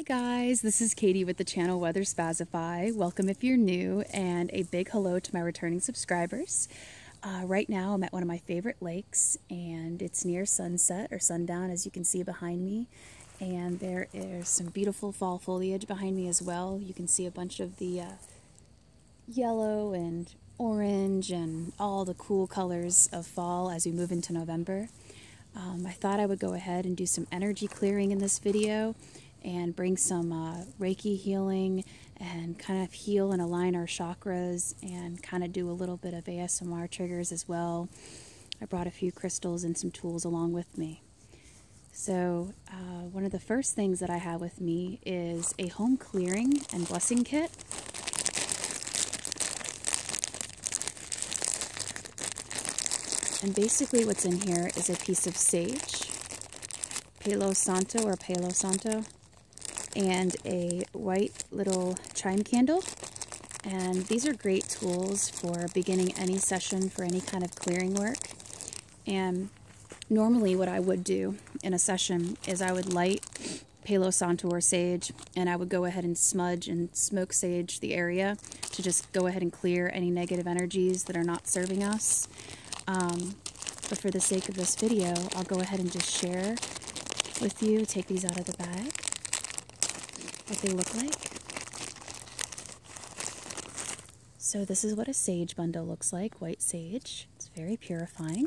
Hey guys, this is Katie with the channel Weather Spazify. Welcome if you're new, and a big hello to my returning subscribers. Uh, right now, I'm at one of my favorite lakes, and it's near sunset or sundown, as you can see behind me. And there is some beautiful fall foliage behind me as well. You can see a bunch of the uh, yellow and orange and all the cool colors of fall as we move into November. Um, I thought I would go ahead and do some energy clearing in this video and bring some uh, Reiki healing and kind of heal and align our chakras and kind of do a little bit of ASMR triggers as well. I brought a few crystals and some tools along with me. So, uh, one of the first things that I have with me is a home clearing and blessing kit. And basically, what's in here is a piece of sage, Palo Santo or Palo Santo, and a white little chime candle. And these are great tools for beginning any session for any kind of clearing work. And normally, what I would do in a session is I would light Palo Santo or sage, and I would go ahead and smudge and smoke sage the area to just go ahead and clear any negative energies that are not serving us. Um, but for the sake of this video, I'll go ahead and just share with you, take these out of the bag, what they look like. So this is what a sage bundle looks like, white sage. It's very purifying.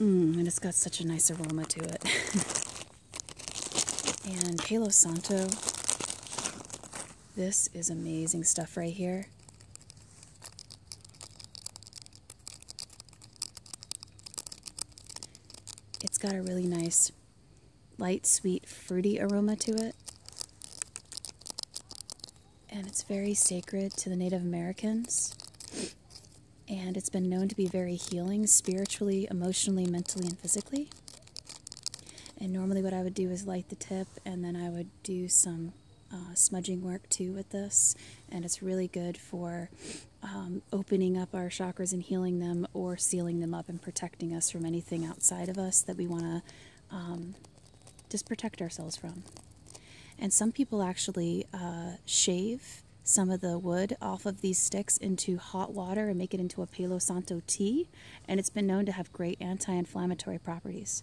Mmm, and it's got such a nice aroma to it. and Palo Santo. This is amazing stuff right here. It's got a really nice, light, sweet, fruity aroma to it. And it's very sacred to the Native Americans and it's been known to be very healing spiritually, emotionally, mentally, and physically. And normally, what I would do is light the tip, and then I would do some uh, smudging work too with this. And it's really good for um, opening up our chakras and healing them, or sealing them up and protecting us from anything outside of us that we want to um, just protect ourselves from. And some people actually uh, shave some of the wood off of these sticks into hot water and make it into a Palo Santo tea, and it's been known to have great anti inflammatory properties.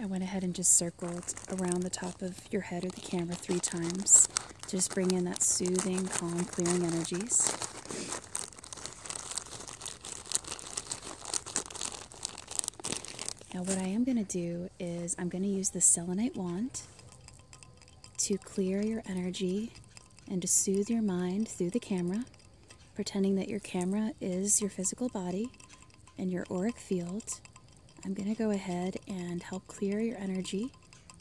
I went ahead and just circled around the top of your head or the camera three times to just bring in that soothing, calm, clearing energies. Now what I am going to do is I'm going to use the selenite wand to clear your energy and to soothe your mind through the camera pretending that your camera is your physical body and your auric field. I'm going to go ahead and help clear your energy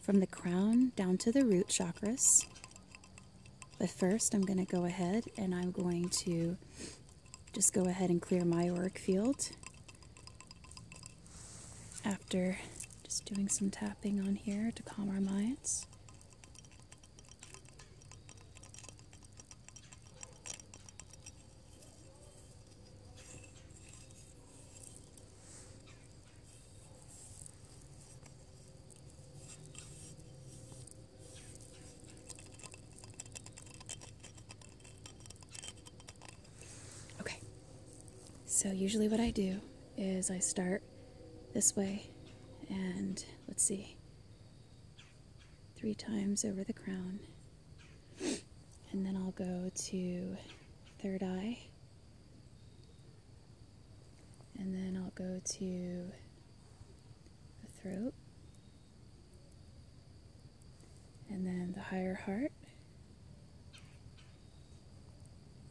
from the crown down to the root chakras. But first, I'm going to go ahead and I'm going to just go ahead and clear my auric field after just doing some tapping on here to calm our minds. Okay, so usually what I do is I start this way, and let's see, three times over the crown. And then I'll go to third eye. And then I'll go to the throat. And then the higher heart.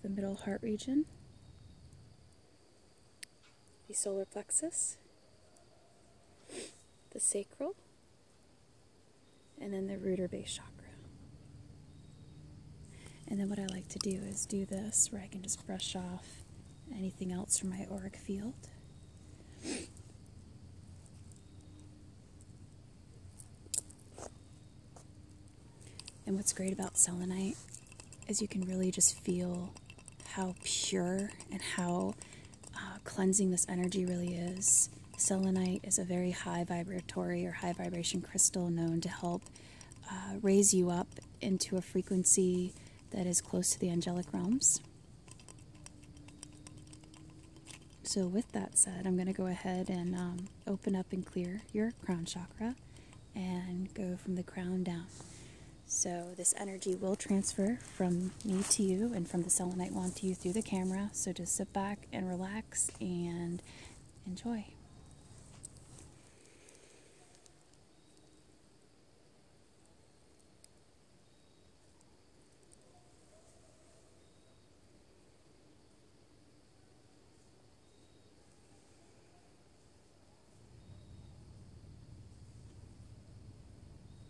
The middle heart region the solar plexus, the sacral, and then the rooter base chakra. And then what I like to do is do this where I can just brush off anything else from my auric field. And what's great about selenite is you can really just feel how pure and how uh, cleansing this energy really is. Selenite is a very high vibratory or high vibration crystal known to help uh, raise you up into a frequency that is close to the angelic realms. So, with that said, I'm going to go ahead and um, open up and clear your crown chakra and go from the crown down. So this energy will transfer from me to you and from the selenite wand to you through the camera. So just sit back and relax and enjoy.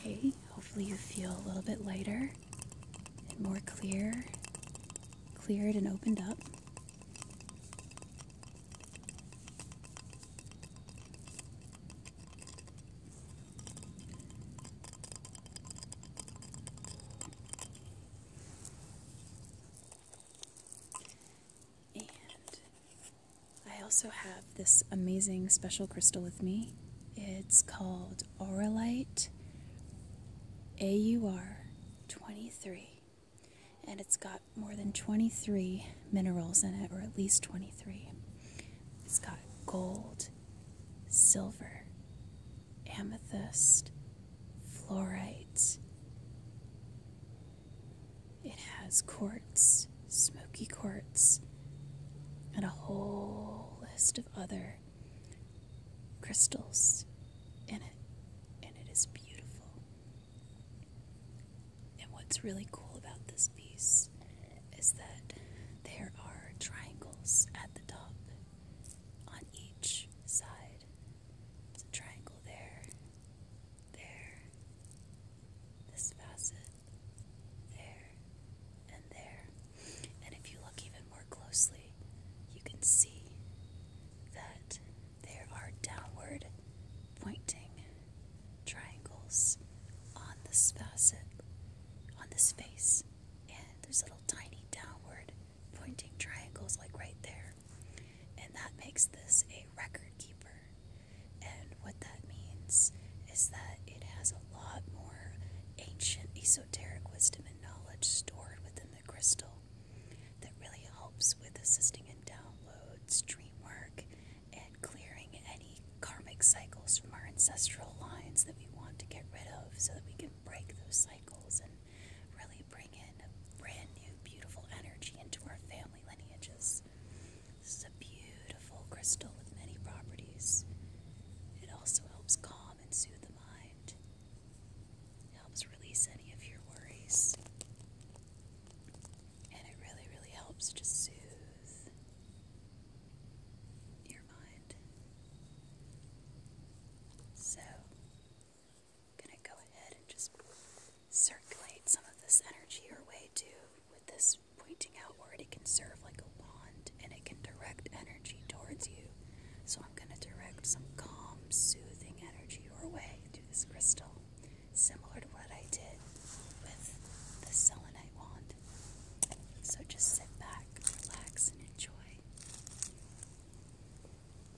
Okay, hopefully you feel a little bit lighter and more clear, cleared and opened up. And I also have this amazing special crystal with me. It's called Auralite AUR 23. And it's got more than 23 minerals in it, or at least 23. It's got gold, silver, amethyst, fluorite. It has quartz, smoky quartz, and a whole list of other crystals in it, and it is beautiful. And what's really cool about this piece is that there are triangles at the top on each side. It's a triangle there, there, this facet, there, and there. And if you look even more closely, you can see that there are downward pointing triangles on this facet, on this face, and there's little tiny downward pointing triangles like right there. And that makes this a record keeper. And what that means is that it has a lot more ancient esoteric wisdom and knowledge stored within the crystal that really helps with assisting in downloads, dream work, and clearing any karmic cycles from our ancestral lines that we want to get rid of so that we can break those cycles and really bring in brand new, beautiful energy into our family lineages. This is a beautiful crystal with many properties. It also helps calm and soothe the mind, helps release any of your worries, and it really, really helps just soothe your mind. So, going to go ahead and just circulate some of this energy your way too with this pointing outward. It can serve like a wand and it can direct energy towards you. So I'm going to direct some calm, soothing energy your way through this crystal, similar to what I did with the selenite wand. So just sit back, relax, and enjoy.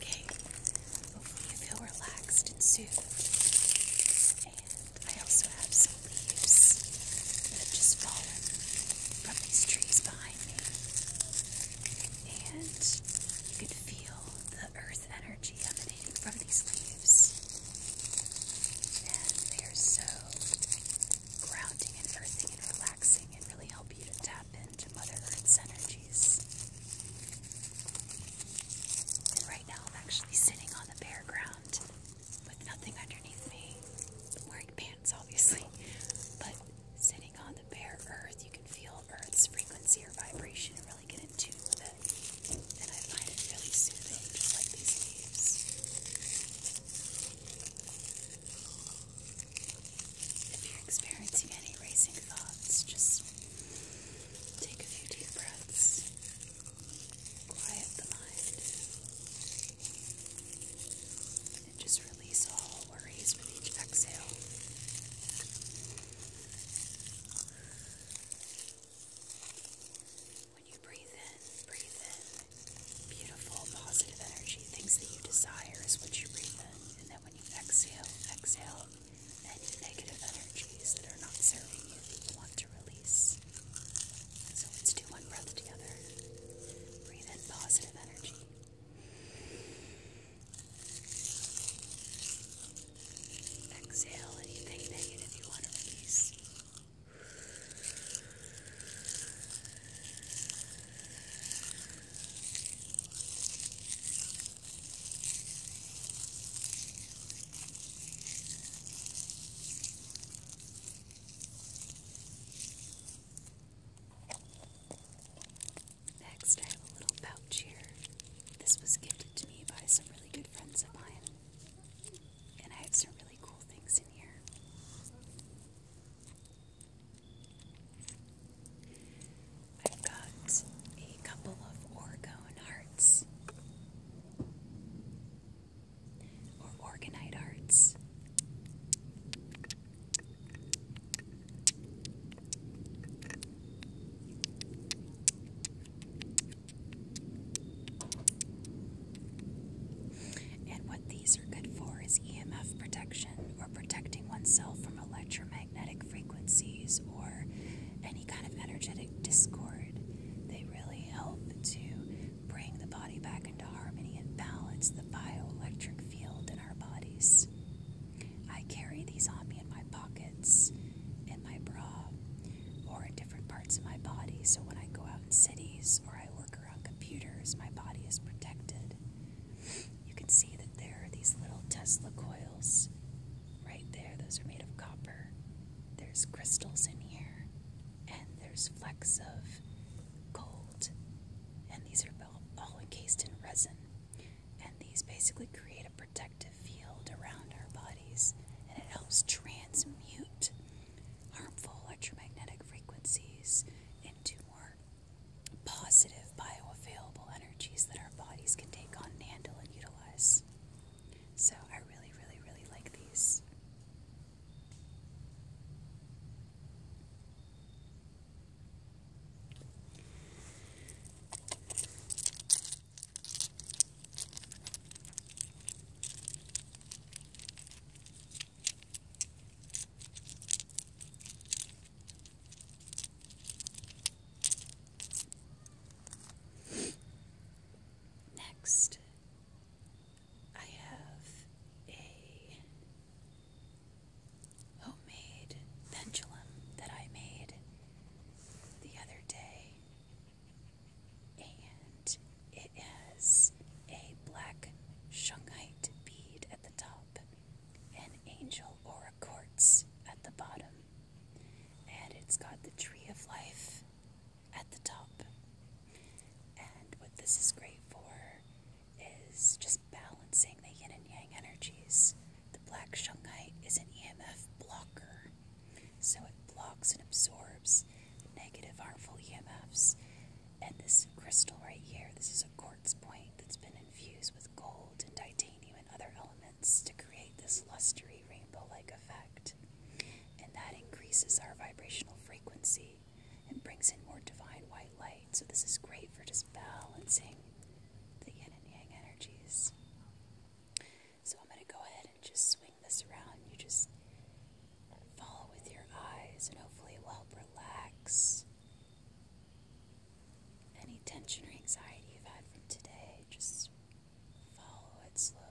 Okay, hopefully you feel relaxed and soothed. And I also have some leaves that just fallen from these trees behind me. And you can feel the earth energy emanating from these leaves. And they are so grounding and earthing and relaxing and really help you to tap into Mother Earth's energies. And right now I'm actually sitting on the bare ground with nothing underneath me. wearing pants obviously, but sitting on the bare earth, you can feel earth's frequency or vibration and really get in tune with it. And I find it really soothing, just like these leaves. If you're experiencing any racing thoughts, just take a few deep breaths, quiet the mind, and just release all exhale. When you breathe in, breathe in beautiful, positive energy, things that you desire is what you breathe in. And then when you exhale, exhale any negative energies that are not serving you, you want to release. So let's do one breath together. Breathe in positive energy. Exhale anything negative you want to release. Next, I have a little pouch here. This was gifted to me by some really good friends of mine. And I have some really cool things in here. I've got a couple of Oregon hearts. Or organite arts. And what these are good for is EMF protection or protecting oneself from electromagnetic frequencies or any kind of energetic discord. They really help to bring the body back into harmony and balance the bioelectric field in our bodies. I carry these on me in my pockets, in my bra, or in different parts of my body. So when I go out in cities or I work around computers, my body is protected. You can see that there are these little Tesla coils right there. Those are made of copper. There's crystals in here, and there's flecks of gold. And these are all encased in resin and these basically create a protective field around our bodies and it helps transmute harmful electromagnetic frequencies into more positive bioavailable energies that our bodies can take on and handle and utilize. So I really, really, really like these. Next, I have a homemade pendulum that I made the other day, and it has a black shungite bead at the top and angel aura quartz at the bottom, and it's got the tree of life at the top. And what this is great for is just balancing the yin and yang energies the black shungite is an EMF blocker, so it blocks and absorbs negative harmful EMFs. And this crystal right here, this is a quartz point that's been infused with gold and titanium and other elements to create this lustery rainbow like effect. And that increases our vibrational frequency and brings in more divine white light. So, this is great for just balancing the yin and yang energies. So I'm going to go ahead and just swing this around. You just follow with your eyes and hopefully it will help relax any tension or anxiety you've had from today. Just follow it slowly.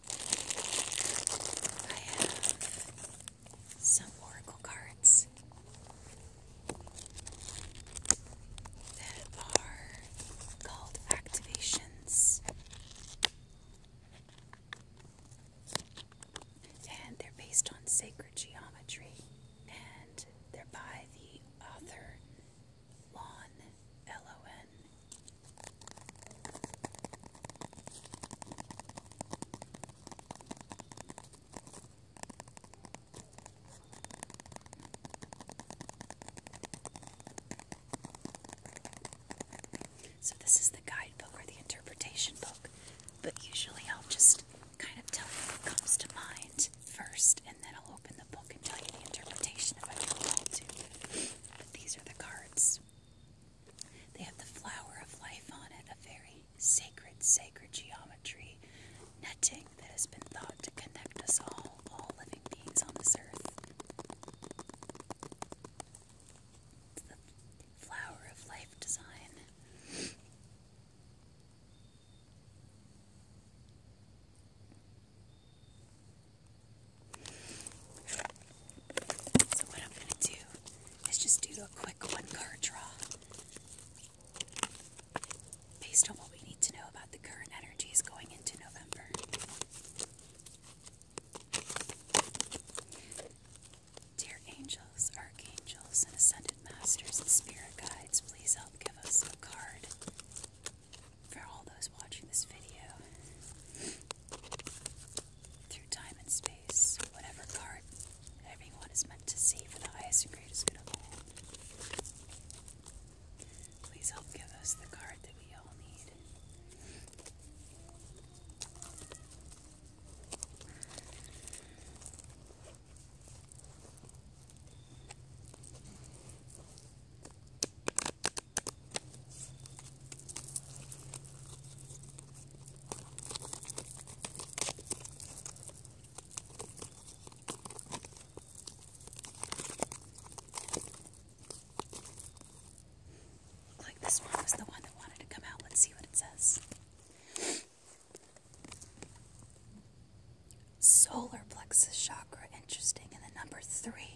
I have some oracle cards that are called activations. And they're based on sacred geometry, and they're by the author Lon L O N so, this is the guidebook or the interpretation book, but usually I'll just kind of tell you what comes to mind first, and then I'll open the book and tell you the interpretation of I feel like to. But these are the cards. They have the flower of life on it, a very sacred, sacred geometry netting that has been thought to connect us all, all living beings on this earth. It's the flower of life design. So, what I'm going to do is just do a quick one card draw based on what we need to know about the current energies going into November. Dear angels, archangels, and ascended masters and spirit guides, please help give us a card for all those watching this video through time and space, whatever part everyone is meant to see for the highest and greatest good of all. Please help give us the card that we all need. Like this one was the one that wanted to come out. Let's see what it says. Solar plexus chakra, interesting. in the number three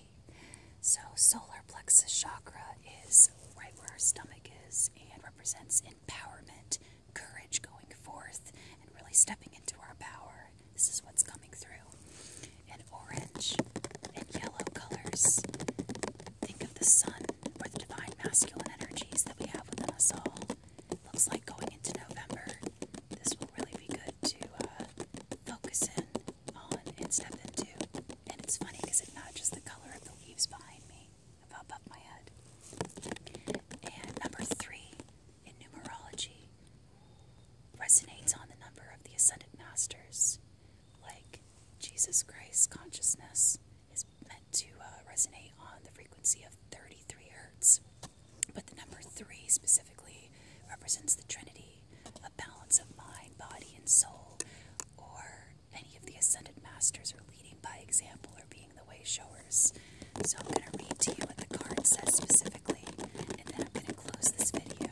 so, solar plexus chakra is right where our stomach is and represents empowerment, courage going forth, and really stepping into our power. This is what's coming through. And orange and yellow colors. Think of the sun or the divine masculine energies that we have within us all. looks like going into November, this will really be good to uh, focus in on and step into. And it's funny because it's not just the color of the leaves behind me, above my head. And number three in numerology resonates on the number of the ascended masters. Like Jesus Christ consciousness is meant to uh, resonate on the frequency of 33 hertz. But the number three specifically represents the Trinity a balance of mind, body, and soul, or any of the ascended masters are leading by example or being the way So I'm going to read to you what the card says specifically, and then I'm going to close this video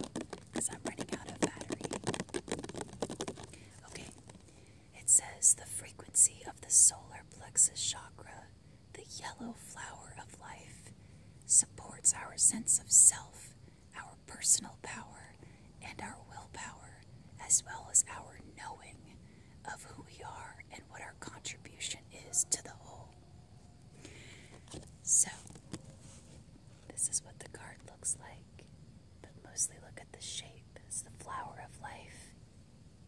because I'm running out of battery. Okay, it says the frequency of the solar plexus chakra, the yellow flower of life, supports our sense of self, our personal power and our willpower, as well as our knowing of who we are and what our contribution is to the whole. So, this is what the card looks like, but mostly look at the shape. It's the flower of life,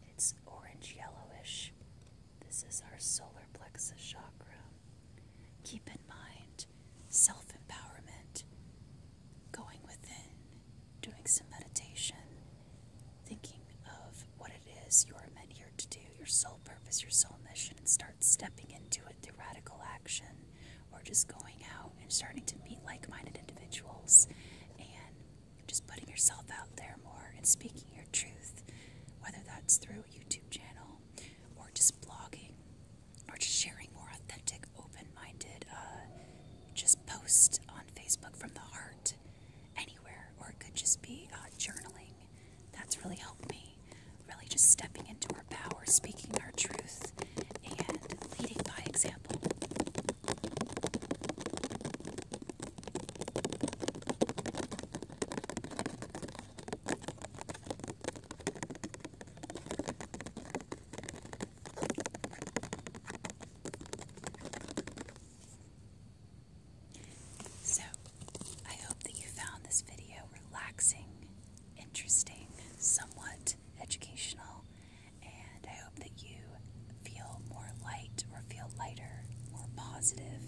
it's orange yellowish. This is our solar plexus chakra. Keep in mind self empowerment, going within, doing some meditation, thinking of what it is you are meant here to do, your sole purpose, your sole mission, and start stepping into it through radical action or just going out and starting to meet like minded individuals and just putting yourself out there more and speaking your truth, whether that's through a YouTube channel or just blogging or just sharing more authentic, open minded, uh, just post on Facebook from the heart, anywhere, or it could just be uh, journaling. That's really helped me. Really just stepping into our power, speaking our truth, and leading by example. So, I hope that you found this video relaxing, interesting, somewhat educational, and I hope that you feel more light or feel lighter, more positive,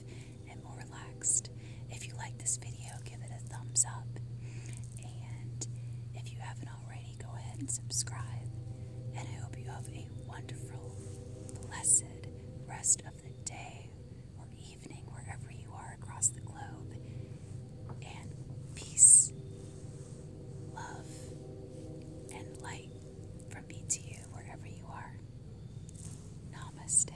and more relaxed. If you like this video, give it a thumbs up. And if you haven't already, go ahead and subscribe. And I hope you have a wonderful, blessed rest of the day or evening, wherever you are across the globe. And peace, love, and light from me to you, wherever you are. Namaste.